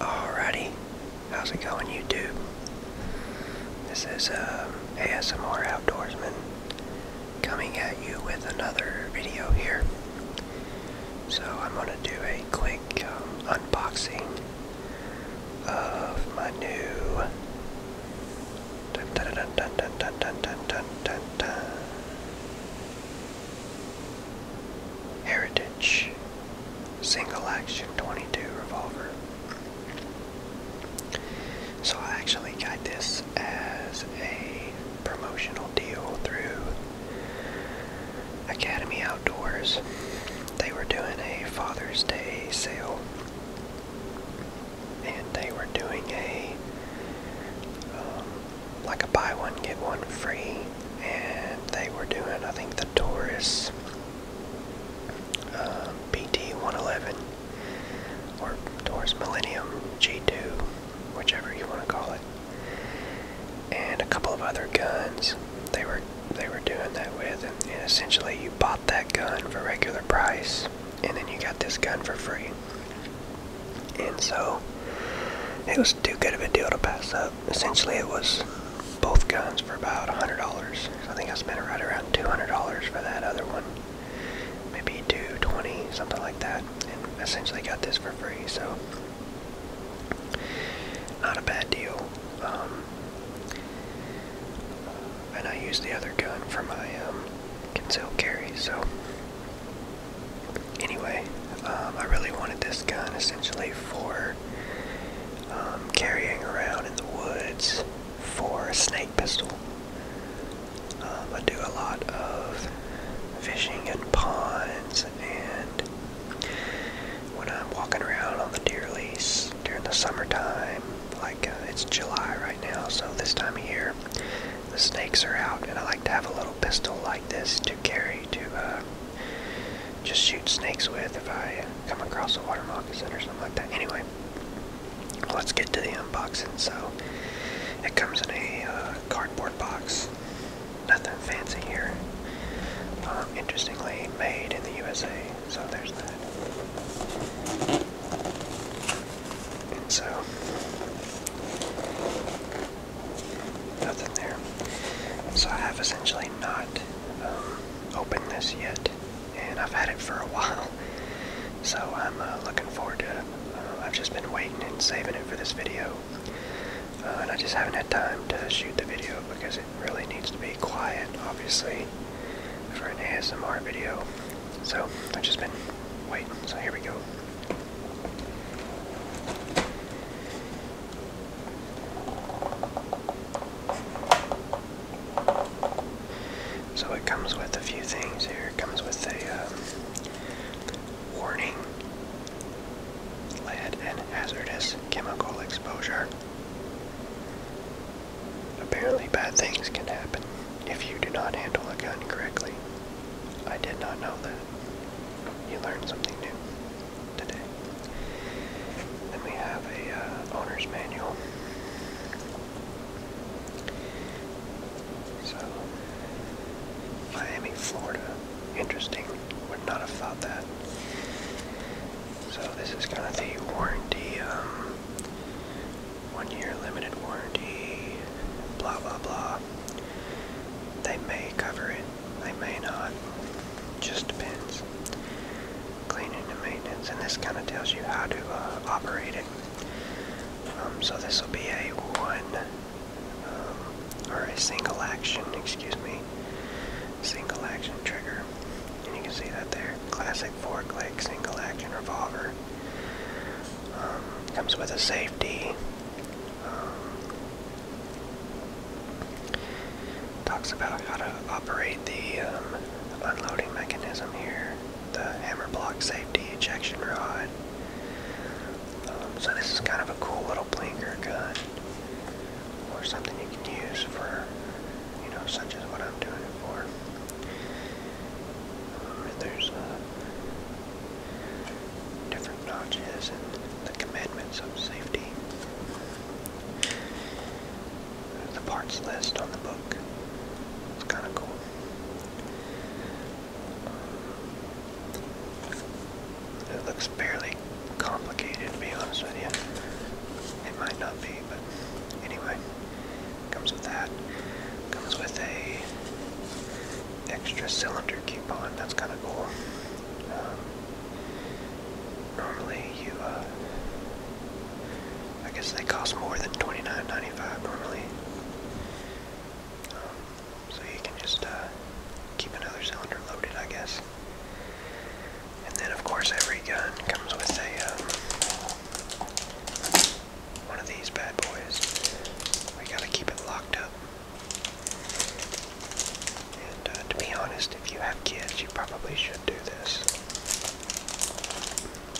Alrighty, how's it going, YouTube? This is um, ASMR Outdoorsman coming at you with another video here. So I'm gonna do a quick um, unboxing of my new. Heritage single action 22 revolver. So I actually got this as a promotional deal through Academy Outdoors. They were doing a Father's Day sale and they were doing a um, like a buy one get one free and they were doing I think the Taurus um, uh, BT 111 or Taurus Millennium G2 whichever you want to call it and a couple of other guns they were they were doing that with and, and essentially you bought that gun for regular price and then you got this gun for free and so it was too good of a deal to pass up. Essentially, it was both guns for about $100. I think I spent right around $200 for that other one. Maybe 220 something like that. And essentially got this for free, so not a bad deal. Um, and I use the other gun for my um, concealed carry, so anyway, um, I really wanted this gun essentially for um, carrying around in the woods for a snake pistol. Um, I do a lot of fishing in ponds, and when I'm walking around on the deer lease during the summertime, like uh, it's July right now, so this time of year, the snakes are out, and I like to have a little pistol like this to carry to uh, just shoot snakes with if I come across a water moccasin or something like that. Anyway, let's get to the unboxing. So it comes in a uh, cardboard box, nothing fancy here. Um, interestingly, made in the USA, so there's that. So, nothing there. So I have essentially not um, opened this yet, and I've had it for a while. So I'm uh, looking forward to it. Uh, I've just been waiting and saving it for this video. Uh, and I just haven't had time to shoot the video because it really needs to be quiet, obviously, for an ASMR video. So I've just been waiting. So here we go. So it comes with a few things here. It comes with a um, warning, lead and hazardous chemical exposure. Apparently, bad things can happen if you do not handle a gun correctly. I did not know that. You learned something new today. Then we have a uh, owner's manual. So, Miami, Florida. Interesting. Would not have thought that. So this is kind of the warranty um, one year limited warranty, blah blah blah. They may cover it, they may not. Just depends. Cleaning and maintenance, and this kind of tells you how to uh, operate it. Um, so this will be a one um, or a single action, excuse me, single action trigger, and you can see that there. Classic four-click single action revolver. Um, comes with a safety. Um, talks about how to operate the um, unloading mechanism here, the hammer block safety ejection rod. so this is kind of a cool little blinker gun, or something you can use for, you know, such as what I'm doing it for there's uh, different notches and the commandments of safety. The parts list on the book. It's kind of cool. It looks fairly complicated, to be honest with you. It might not be but anyway, comes with that. Comes with a extra cylinder coupon. That's kind of cool. Um, normally, you uh, I guess they cost more than twenty nine ninety five normally. Um, so you can just uh, keep another cylinder loaded, I guess. And then, of course, every gun comes with a um, one of these bad boys. We gotta keep it locked up. And uh, to be honest, if you have kids, you probably should do this.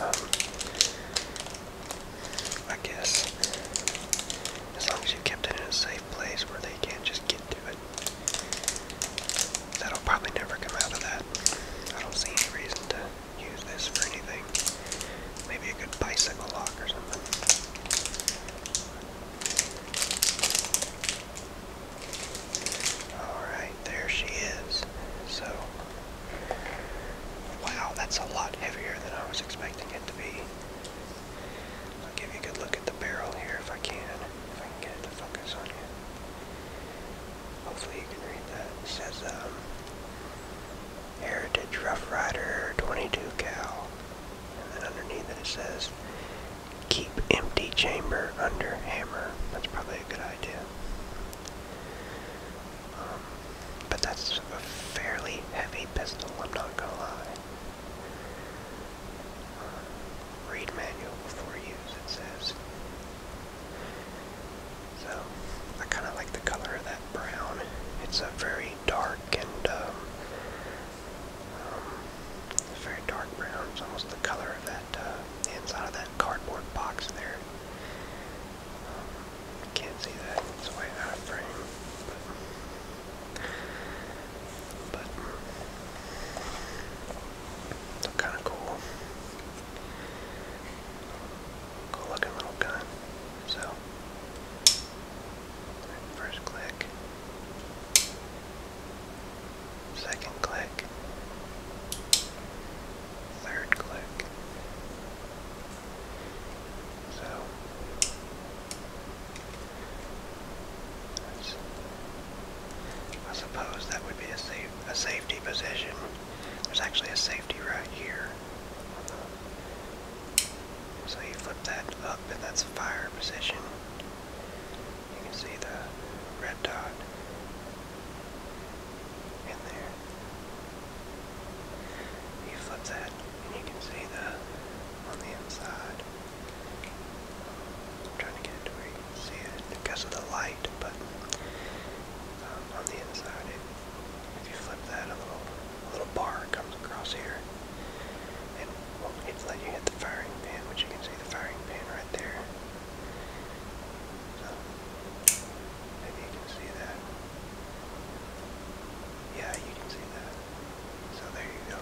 Um, I guess as long as you kept it in a safe place where they can't just get to it. That'll probably never come out of that. I don't see any reason to use this for anything. Maybe a good bicycle lock or something. Alright, there she is. So, wow, that's a lot heavier than I was expecting it to be. give you a good look at the barrel here if I can, if I can get it focus on you. Hopefully you can read that. It says, um, Heritage Rough Rider 22 Cal. And then underneath it, it says, Keep empty chamber under hammer. That's probably a good idea. Um, but that's a fairly heavy pistol, I'm not gonna lie. Uh, read manual before use, it says. So, I kind of like the color of that brown. It's a very dark and um, um, very dark brown. It's almost the color of that uh, inside of that cardboard box there. Um, can't see that; it's way out of frame. But, kind of cool. Cool looking little gun. So, first click, second click, third click. So, I suppose that would be a safe a safety position. There's actually a safety right here. So you flip that up and that's fire position. You can see the red dot in there. You flip that and you can see the on the inside. I'm trying to get it to where see it because of the light, but um, on the inside, it, if you flip that, a little a little bar comes across here, and won't well, let you hit the firing pin, which you can see the firing pin right there. So maybe you can see that. Yeah, you can see that. So there you go.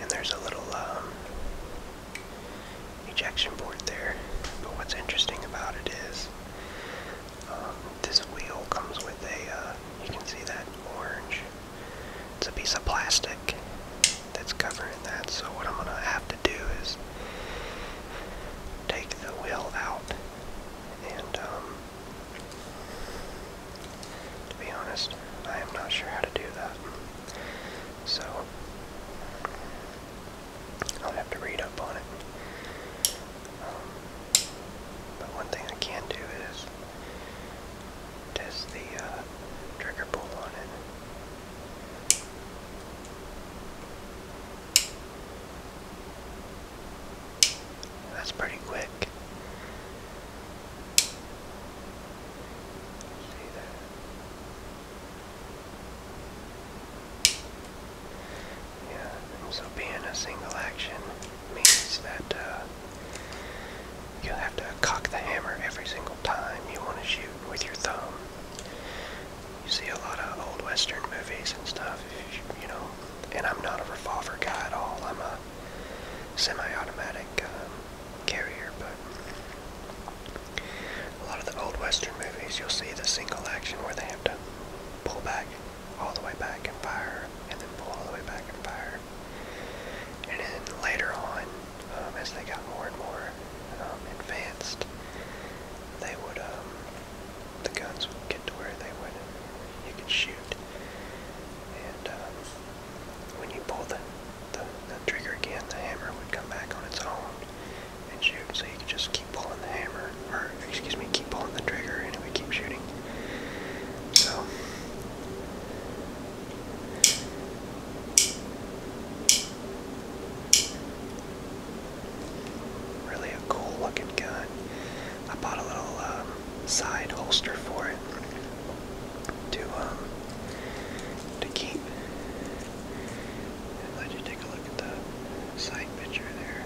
And there's a little um, ejection port there. But what's interesting about it is um, this wheel comes with a, uh, you can see that orange. It's a piece of plastic that's covering that. So what I'm going to have to do is take the wheel out and um, to be honest, I am not sure how to do that. So, I'll have to read up on it. Um, but one thing I can do is test the uh, trigger pull on it. That's pretty quick. See that? Yeah, so being a single action means that uh, you have to cock the hammer every single time you want to shoot with your thumb. You see a lot of old western movies and stuff, you know, and I'm not a revolver guy at all. I'm a semi-automatic um, carrier, but a lot of the old western movies, you'll see the single action where they have to pull back all the way back and fire, and then pull all the way back and fire. And then later on, um, as they got more and more um, advanced, they would um, the guns would get to where they would, and you could shoot. And um, when you pull the, the, the trigger again, the hammer would come back on its own and shoot. So you could just keep pulling the hammer, or excuse me, keep pulling the trigger, and it would keep shooting. So. Really a cool looking gun. I bought a little um, side holster for it to um, to keep. let you take a look at the side picture there.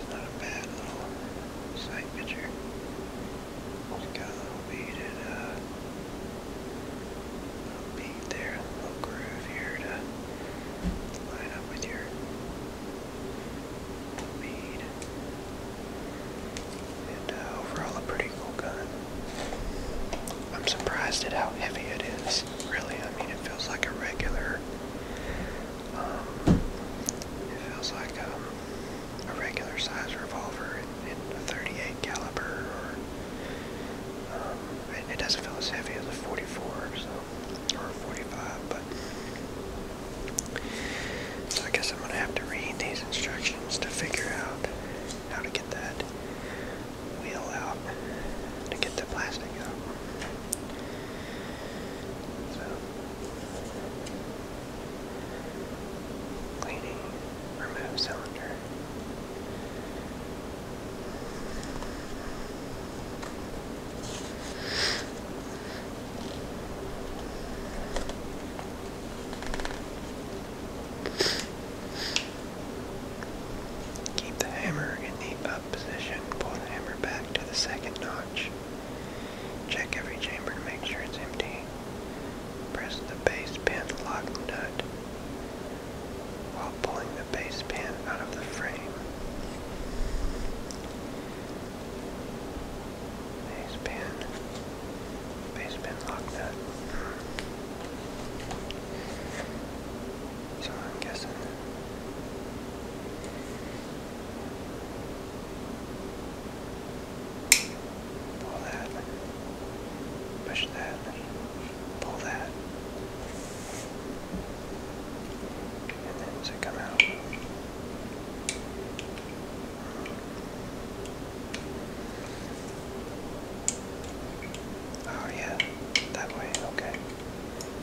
It's not a bad little side picture. It's got a little beaded uh, being there in little groove here to line up with your lead. And uh, overall a pretty cool gun. I'm surprised at how heavy it is, really. I mean, it feels like a regular, um, it feels like um, a regular size revolver in a 38 caliber, or um, it, doesn't feel as heavy as a 44, or a 45. But so I guess I'm gonna have to read these instructions to figure out how to get that wheel out, to get the plastic out. So, cleaning Remove cylinder. Keep the hammer in the up position. Pull the hammer back to the second notch. Check every chamber to make sure it's empty. Press the base pin lock nut while pulling the base pin out of the frame. Base pin, base pin lock nut. So I'm guessing. Pull that. Push that. Pull that. And then does come out? Oh yeah, that way, okay.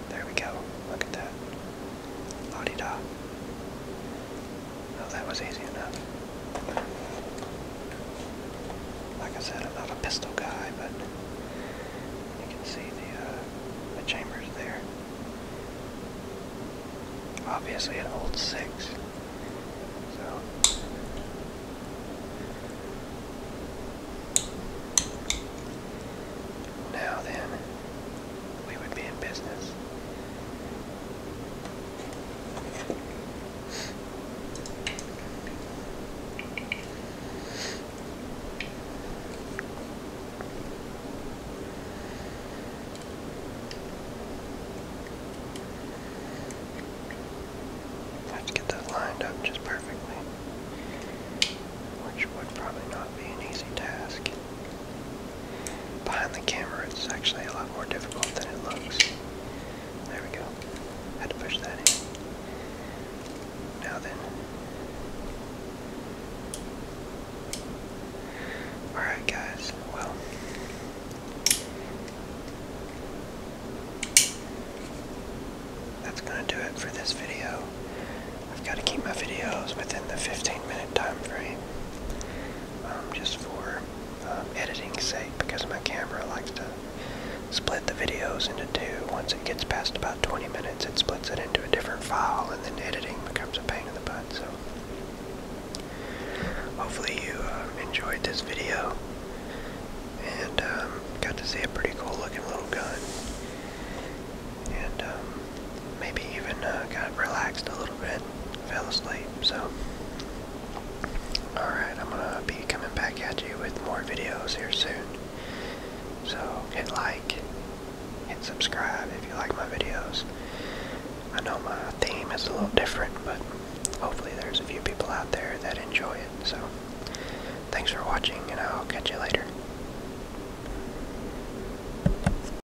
There we go. Look at that. La-di-da. Well, that was easy enough. Like I said, I'm not a pistol guy, but you can see the, uh, the chambers there. Obviously it holds six. So now then, we would be in business have to get those lined up just perfectly, which would probably not be an easy task. Behind the camera, it's actually a lot more difficult than it looks. There we go. Had to push that in. Now then. Alright, guys. Well. That's going to do it for this video. I've got to keep my videos within the 15 minute time frame just for um, editing sake because my camera likes to split the videos into two. Once it gets past about 20 minutes, it splits it into a different file, and then editing becomes a pain in the butt. So, hopefully, you uh, enjoyed this video and um, got to see a pretty cool looking little gun. And um, maybe even uh, got relaxed a little bit, fell asleep. So, alright, I'm gonna be coming back at you with more videos here soon. So, hit like, hit subscribe if you like my videos. I know my theme is a little different, but hopefully, there's a few people out there that enjoy it. So, thanks for watching, and I'll catch you later.